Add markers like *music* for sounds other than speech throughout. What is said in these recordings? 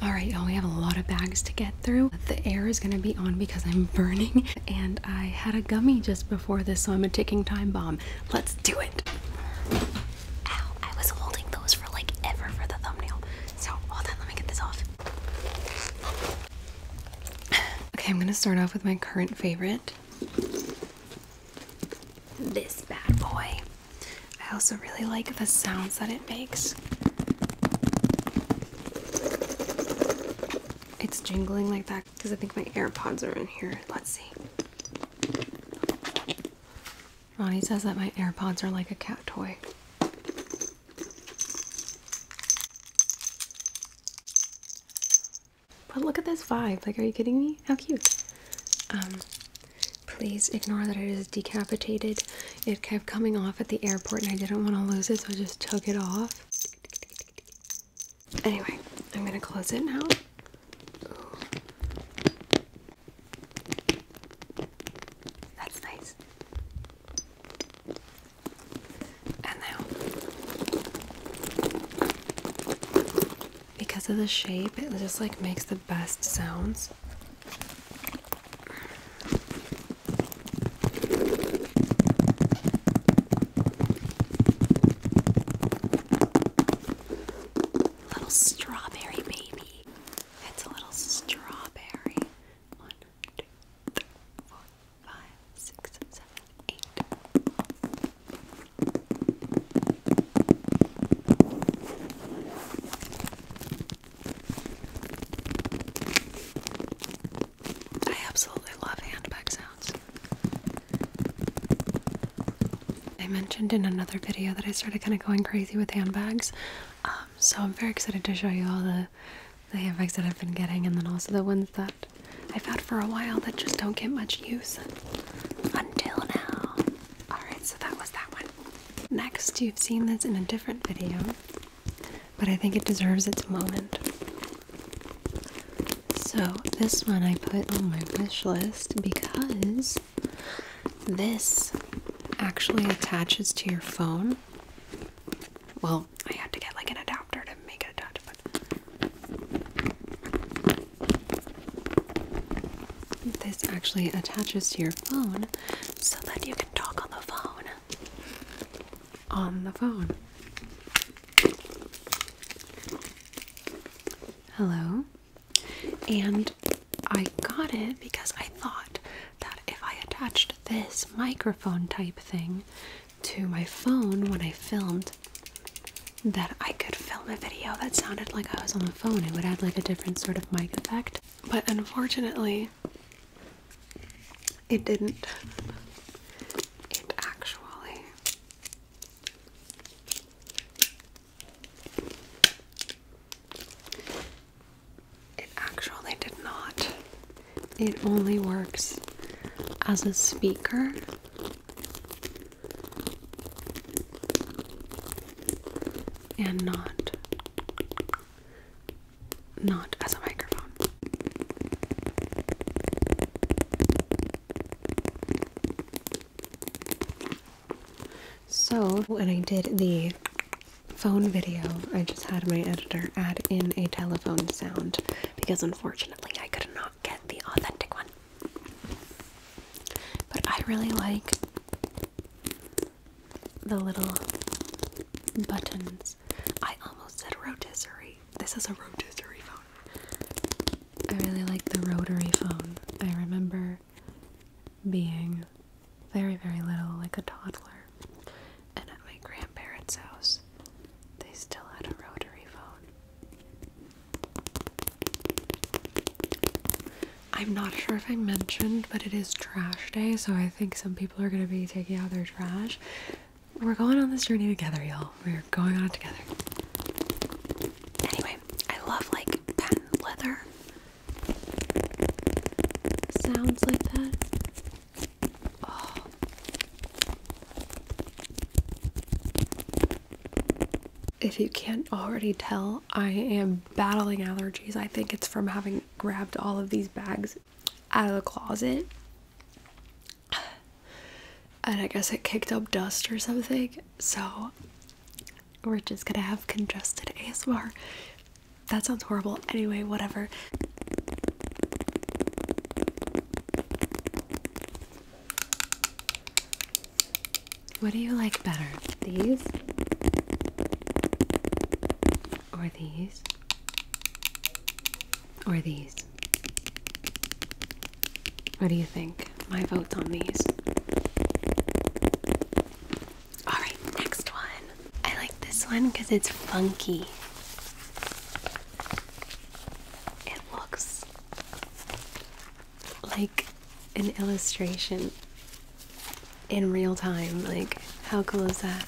All right, y'all, we have a lot of bags to get through. The air is gonna be on because I'm *laughs* burning, and I had a gummy just before this, so I'm a ticking time bomb. Let's do it. Ow, I was holding those for like ever for the thumbnail. So hold on, let me get this off. *sighs* Okay, I'm gonna start off with my current favorite. This bad boy. I also really like the sounds that it makes. It's jingling like that because I think my AirPods are in here. Let's see. Ronnie says that my AirPods are like a cat toy. But look at this vibe. Like, are you kidding me? How cute. Um, Please ignore that it is decapitated. It kept coming off at the airport and I didn't want to lose it, so I just took it off. Anyway, I'm gonna close it now. That's nice. And now, because of the shape, it just like makes the best sounds. Little strawberry baby. It's a little strawberry. One, two, three, four, five, six, seven, eight. I absolutely love handbag sounds. I mentioned in another video that I started kind of going crazy with handbags, um, so I'm very excited to show you all the, the handbags that I've been getting and then also the ones that I've had for a while that just don't get much use until now. Alright, so that was that one. Next, you've seen this in a different video, but I think it deserves its moment. So, this one I put on my wish list because this actually attaches to your phone. Well, I had to get like an adapter to make it attach, but this actually attaches to your phone so that you can talk on the phone. On the phone. Hello. And I got it because I thought that if I attached this microphone type thing to my phone when I filmed, that I could film a video that sounded like I was on the phone. It would add like a different sort of mic effect. But unfortunately, it didn't. It actually it actually did not. It only works as a speaker. And not not as a microphone. So, when I did the phone video, I just had my editor add in a telephone sound because unfortunately I could not get the authentic one. But I really like the little buttons. I almost said rotisserie. This is a rotisserie phone. I really like the rotary phone. I remember being very, very little, like a toddler, and at my grandparents' house, they still had a rotary phone. I'm not sure if I mentioned, but it is trash day, so I think some people are gonna be taking out their trash. We're going on this journey together, y'all. We're going on together. Anyway, I love like patent leather sounds like that. Oh. If you can't already tell, I am battling allergies. I think it's from having grabbed all of these bags out of the closet. And I guess it kicked up dust or something. So we're just gonna have congested ASMR. That sounds horrible. Anyway, whatever. What do you like better? These or these, or these. What do you think? My vote's on these. Alright, next one. I like this one because it's funky. It looks like an illustration in real time. Like, how cool is that?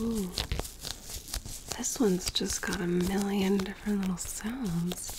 Ooh. This one's just got a million different little sounds.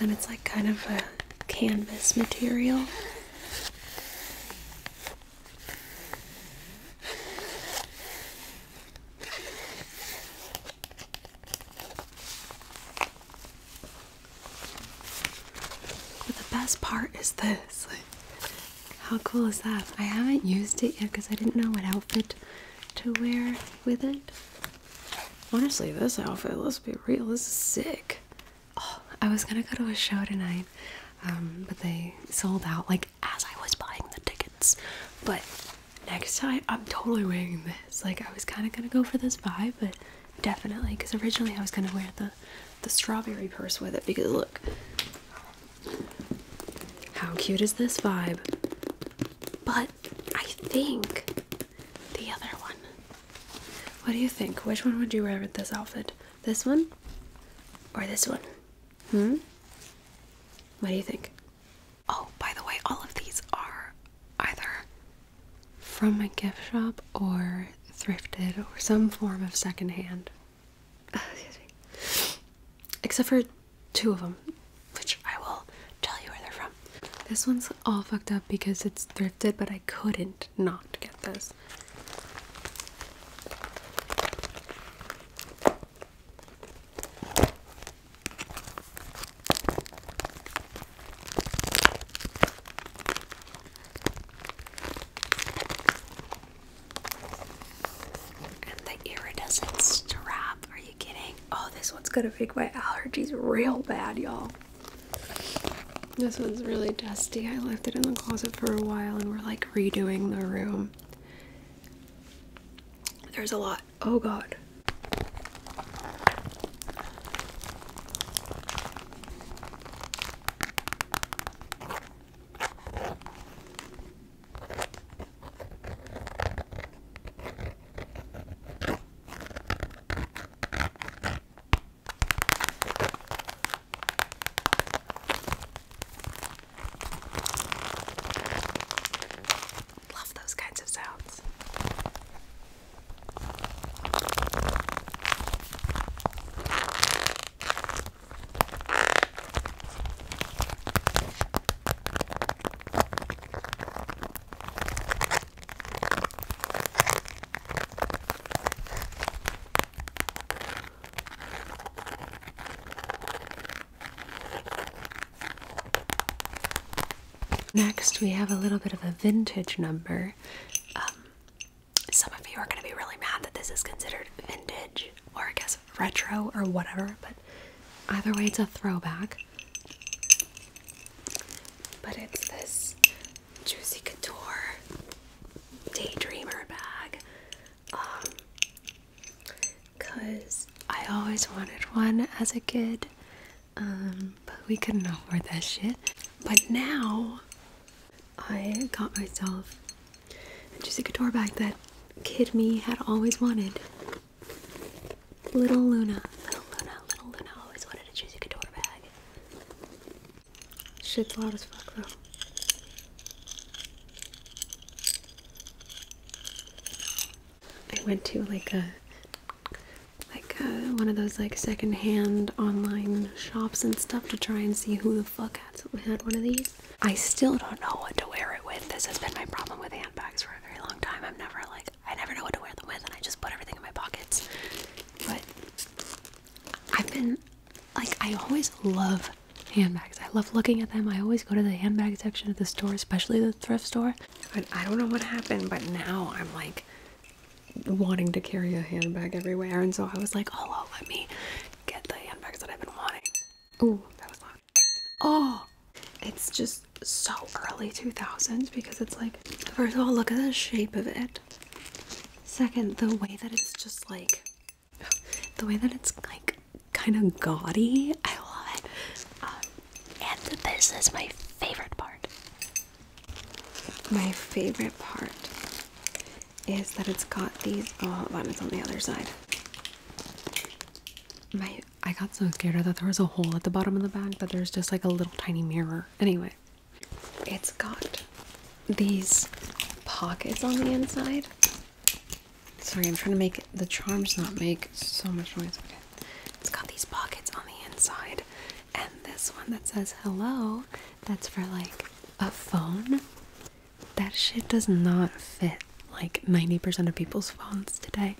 And then it's like kind of a canvas material. But the best part is this. How cool is that? I haven't used it yet because I didn't know what outfit to wear with it. Honestly, this outfit, let's be real, this is sick. Oh, I was gonna go to a show tonight, um, but they sold out like as I was buying the tickets. But next time, I'm totally wearing this. Like, I was kind of gonna go for this vibe, but definitely because originally I was gonna wear the the strawberry purse with it because look, how cute is this vibe? But I think the other one. What do you think? Which one would you wear with this outfit? This one or this one? Hmm? What do you think? Oh, by the way, all of these are either from my gift shop or thrifted or some form of secondhand. Uh, Except for two of them, which I will tell you where they're from. This one's all fucked up because it's thrifted, but I couldn't not get this. And the iridescent strap. Are you kidding? Oh, this one's gonna make my allergies real bad, y'all. This one's really dusty. I left it in the closet for a while and we're like redoing the room. There's a lot. Oh god. Love those kinds of sounds. Next, we have a little bit of a vintage number. Um, some of you are going to be really mad that this is considered vintage, or I guess retro or whatever, but either way, it's a throwback. But it's this Juicy Couture Daydreamer bag. Um, Cause I always wanted one as a kid, um, but we couldn't afford that shit. But now I got myself and she's a guitar bag that kid me had always wanted. Little Luna, little Luna, little Luna always wanted a choose a couture bag. Shit's loud as fuck though. I went to like a like a, one of those like secondhand online shops and stuff to try and see who the I still don't know what to wear it with. This has been my problem with handbags for a very long time. I'm never like I never know what to wear them with and I just put everything in my pockets. But I've been like I always love handbags. I love looking at them. I always go to the handbag section of the store, especially the thrift store. But I don't know what happened, but now I'm like wanting to carry a handbag everywhere and so I was like, oh let me get the handbags that I've been wanting. Ooh, that was loud. Oh, it's just so early 2000s because it's like, first of all, look at the shape of it. Second, the way that it's just like, the way that it's like kind of gaudy. I love it. Um, and this is my favorite part. My favorite part is that it's got these oh buttons on the other side my I got so scared I thought there was a hole at the bottom of the bag, but there's just like a little tiny mirror. Anyway, it's got these pockets on the inside. Sorry, I'm trying to make the charms not make so much noise. Okay. It's got these pockets on the inside, and this one that says hello, that's for like a phone. That shit does not fit like 90% of people's phones today.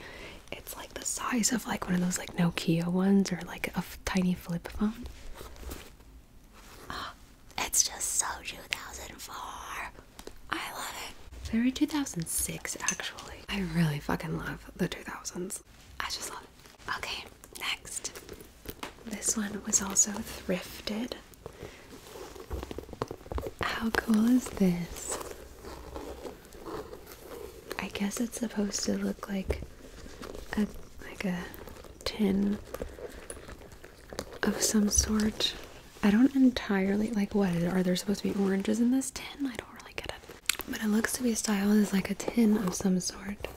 It's like the size of like one of those like Nokia ones or like a tiny flip phone. Ah, it's just so 2004. I love it. Very 2006 actually. I really fucking love the 2000s. I just love it. Okay, next. This one was also thrifted. How cool is this? I guess it's supposed to look like a like a tin of some sort. I don't entirely like what are there supposed to be oranges in this tin? I don't really get it. But it looks to be styled as like a tin of some sort.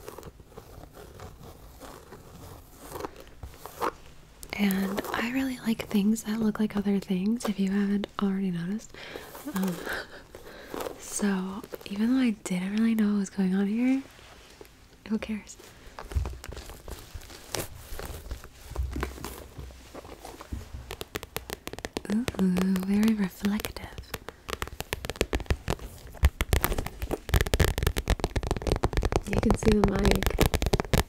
And I really like things that look like other things, if you haven't already noticed. Um, so, even though I didn't really know what was going on here, who cares? Ooh, very reflective. You can see the mic.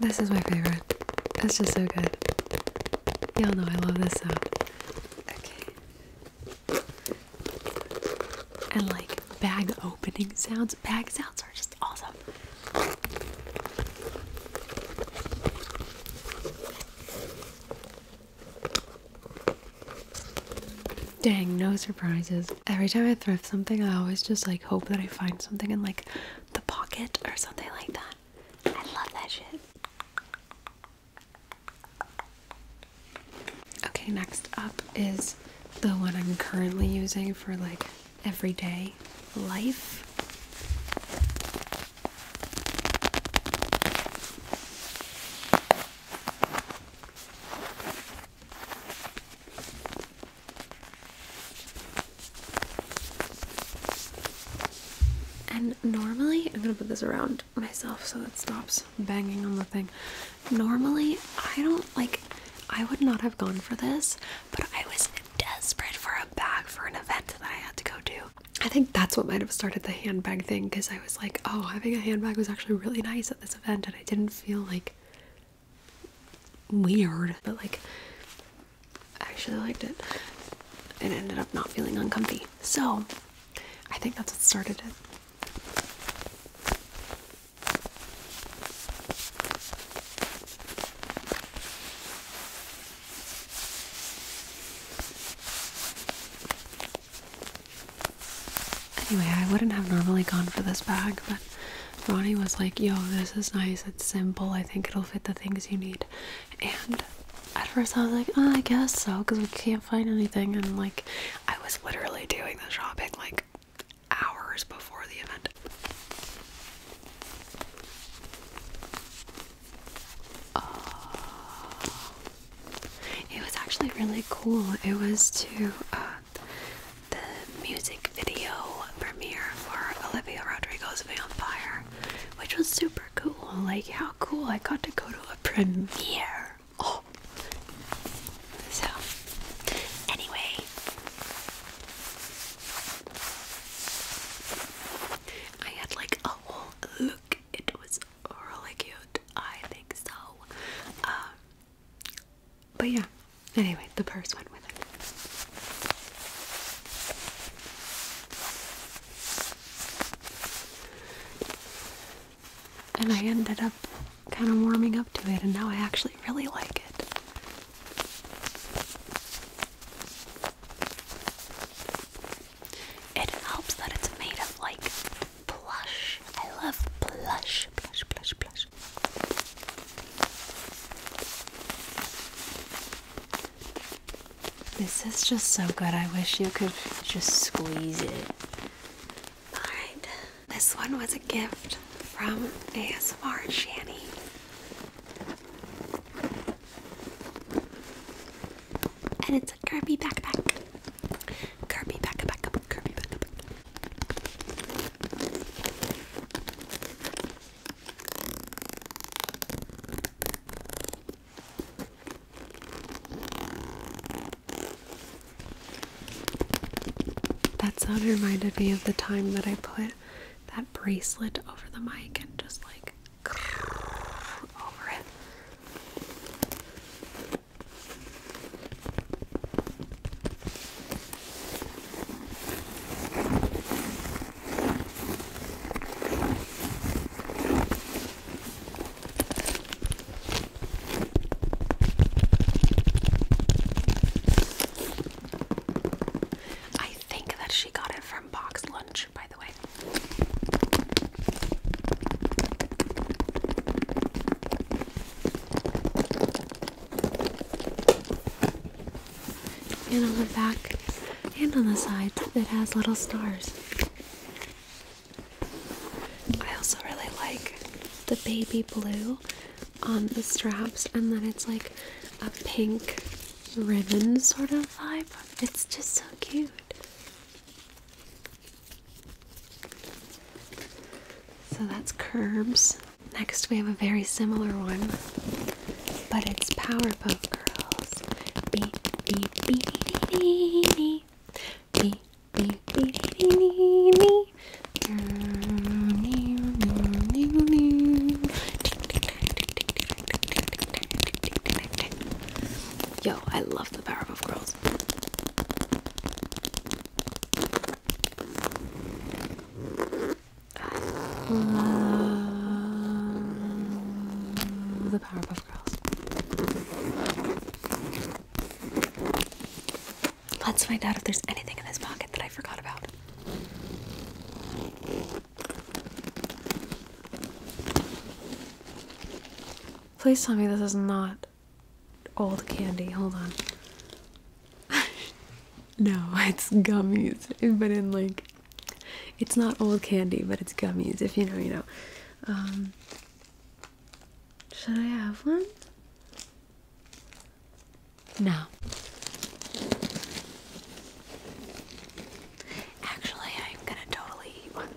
This is my favorite. It's just so good. Y'all know I love this sound. Okay. And like bag opening sounds. Bag sounds are just awesome. Dang, no surprises. Every time I thrift something, I always just like hope that I find something in like the pocket or something like that. I love that shit. Okay, next up is the one I'm currently using for like everyday life. And normally, I'm gonna put this around myself so it stops banging on the thing. Normally, I don't like, I would not have gone for this, but I was desperate for a bag for an event that I had to go to. I think that's what might have started the handbag thing because I was like, oh, having a handbag was actually really nice at this event and I didn't feel like weird, but like, I actually liked it. It ended up not feeling uncomfy. So, I think that's what started it. Anyway, I wouldn't have normally gone for this bag, but Ronnie was like, yo, this is nice, it's simple, I think it'll fit the things you need. And at first I was like, oh, I guess so, because we can't find anything. And like, I was literally doing the shopping like hours before the event. Oh. It was actually really cool. It was to uh, the music video premiere for Olivia Rodrigo's Vampire, which was super cool. Like, how cool! I got to go to premiere. Oh. so anyway, I had like a whole look. It was really cute. I think so. Um, but yeah. Anyway, the purse went with it and I ended up kind of warming up to it, and now I actually really like it. It helps that it's made of like plush. I love plush, plush, plush, plush. This is just so good. I wish you could just squeeze it. Alright, this one was a gift from ASMR Shanny. And it's a Kirby backpack. Kirby backpack, Kirby backpack. That sound reminded me of the time that I put that bracelet over the mic and just like *laughs* over it. I think that she got it from Box Lunch, by the way. And on the back and on the side, it has little stars. I also really like the baby blue on the straps, and then it's like a pink ribbon sort of vibe. It's just so cute. So that's Curbs. Next, we have a very similar one, but it's Powerpuff Girls me, me, me, me, me. Yo, I love the Powerpuff Girls. I love the Powerpuff Let's find out if there's anything in this pocket that I forgot about. Please tell me this is not old candy. Hold on. *laughs* no, it's gummies, but in like. It's not old candy, but it's gummies. If you know, you know. Um, should I have one? No. Actually, I'm gonna totally eat one.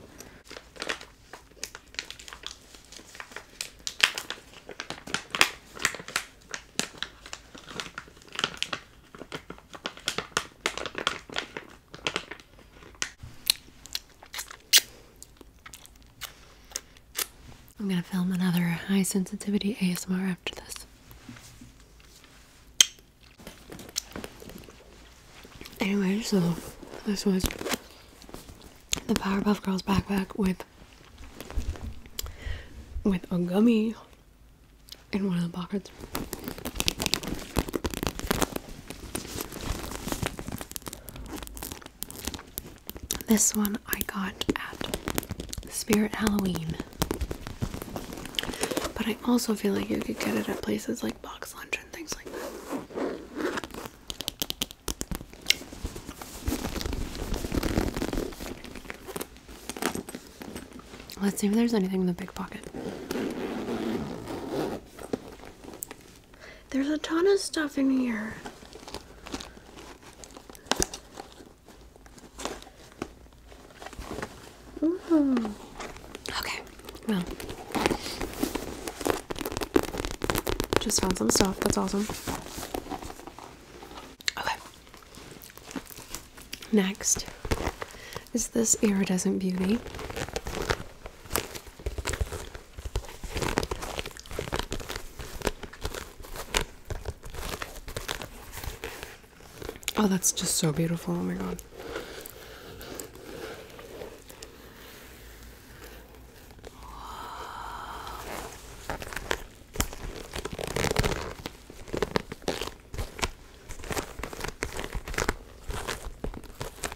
I'm gonna film another high sensitivity ASMR after this. Anyway, so this was the Powerpuff Girls backpack with with a gummy in one of the pockets. This one I got at Spirit Halloween. But I also feel like you could get it at places like Box Lunch and things like that. Let's see if there's anything in the big pocket. There's a ton of stuff in here. Hmm. Okay, well, just found some stuff. That's awesome. Okay. Next is this iridescent beauty. Oh, that's just so beautiful. Oh my god.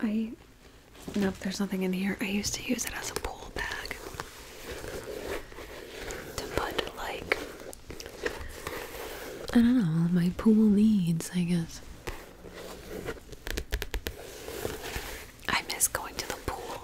I. know if there's nothing in here. I used to use it as a pool bag to put, like, I don't know, all my pool needs, I guess. I miss going to the pool.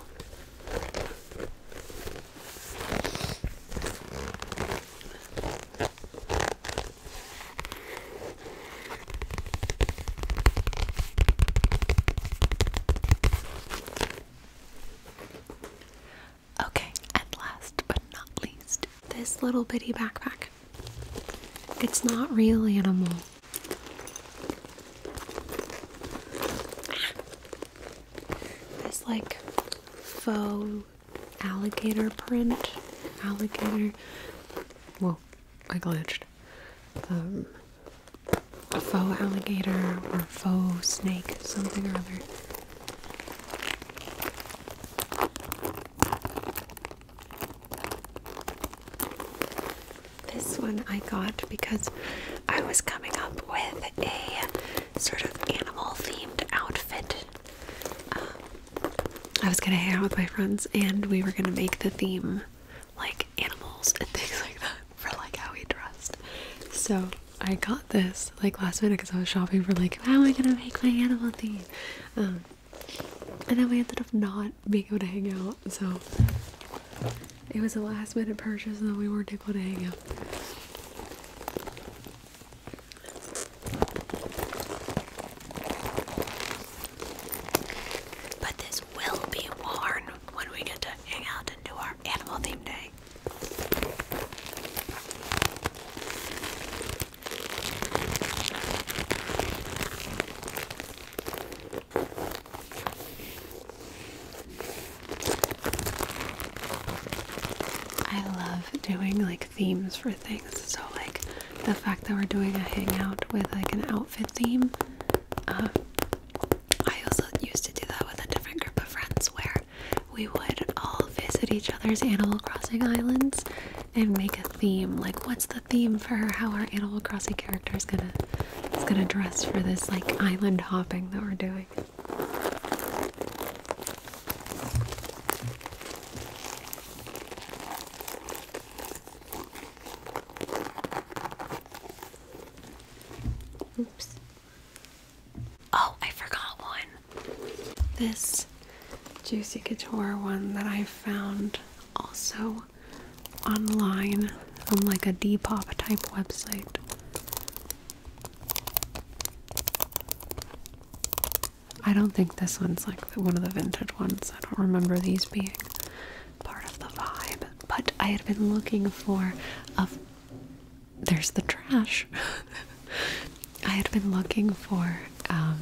Okay, and last but not least, this little bitty backpack. It's not real animal. It's like faux alligator print. Alligator. Well, I glitched. Um, a faux alligator or faux snake, something or other. This one I got because I was coming up with a sort of animal themed outfit um, I was gonna hang out with my friends and we were gonna make the theme like animals and *laughs* things like that for like how we dressed. So I got this like last minute because I was shopping for like how am I gonna make my animal theme? Um, and then we ended up not being able to hang out, so it was a last minute purchase and then we weren't able to hang out. But this will be worn when we get to hang out and do our animal theme day. I love doing like themes for things. So like the fact that we're doing a hangout with like an outfit theme. Uh, I also used to do that with a different group of friends where we would all visit each other's Animal Crossing islands and make a theme. Like, what's the theme for how our Animal Crossing character is gonna is gonna dress for this like island hopping that we're doing? Oops. Oh, I forgot one. This Juicy Couture one that I found also online on like a Depop type website. I don't think this one's like one of the vintage ones. I don't remember these being part of the vibe. But I had been looking for a. There's the trash. *laughs* I had been looking for um,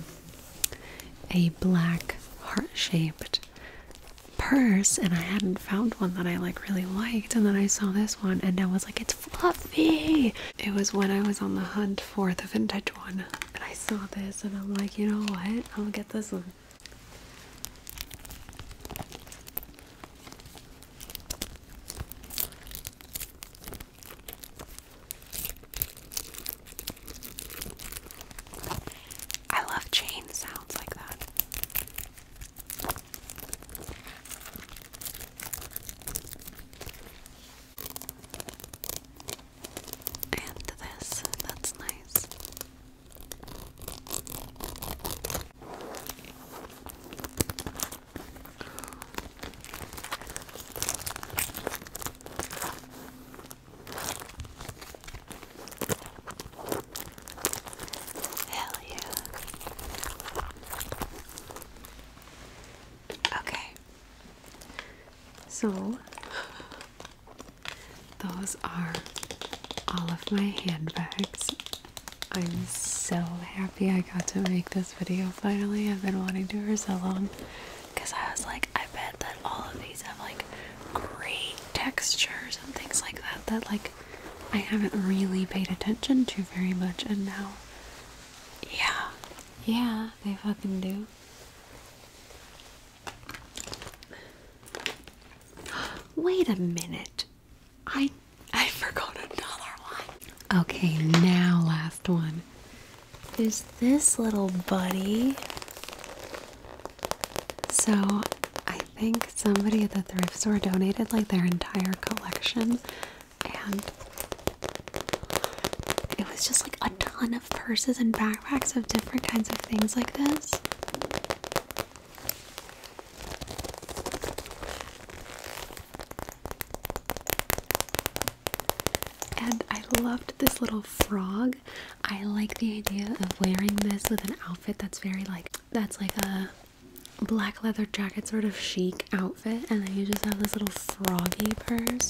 a black heart shaped purse and I hadn't found one that I like really liked and then I saw this one and I was like it's fluffy. It was when I was on the hunt for the vintage and I saw this and I'm like, you know what? I'll get this one. I love chain sounds like that. And this, that's nice. Hell yeah. Okay. So, those are all of my handbags. I'm so happy I got to make this video finally. I've been wanting to for so long because I was like, I bet that all of these have like great textures and things like that that like I haven't really paid attention to very much and now yeah yeah yeah, they fucking do. *gasps* Wait a minute. I I forgot another one. Okay, now last one. is this little buddy. So I think somebody at the thrift store donated like their entire collection and it was just like a ton of purses and backpacks of different kinds of things like this. And I loved this little frog. I like the idea of wearing this with an outfit that's very like that's like a black leather jacket sort of chic outfit and then you just have this little froggy purse.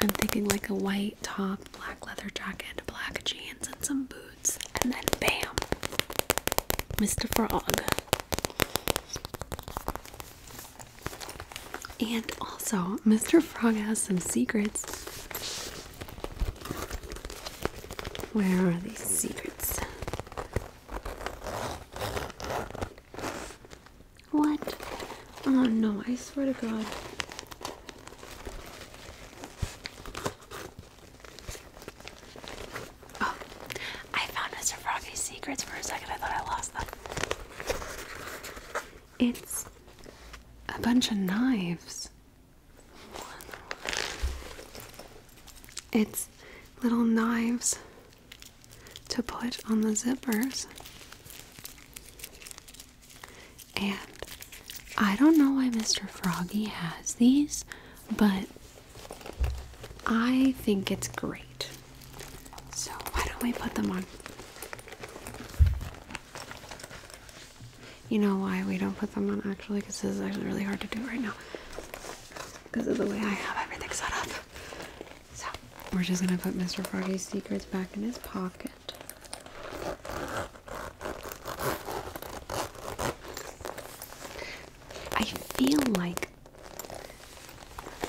I'm thinking like a white top, black leather jacket, black jeans, and some boots, and then bam, Mr. Frog. And also, Mr. Frog has some secrets. Where are these secrets? What? Oh no, I swear to God. Oh, I found Mr. Froggy's secrets for a second. I thought I lost them. It's a bunch of knives. It's little knives to put on the zippers. And I don't know why Mr. Froggy has these, but I think it's great. So, why don't we put them on? You know why we don't put them on actually? Because this is actually really hard to do right now because of the way I have everything set up. So we're just gonna put Mr. Froggy's secrets back in his pocket. I feel like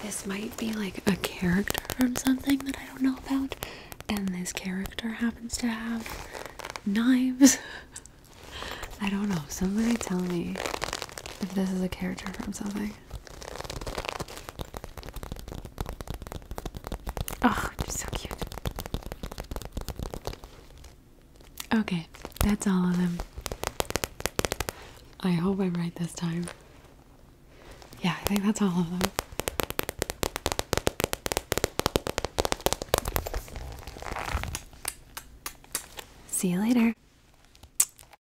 this might be like a character from something that I don't know about, and this character happens to have knives. *laughs* I don't know. Somebody tell me if this is a character from something. Oh, she's so cute. Okay, that's all of them. I hope I'm right this time. Yeah, I think that's all of them. See you later.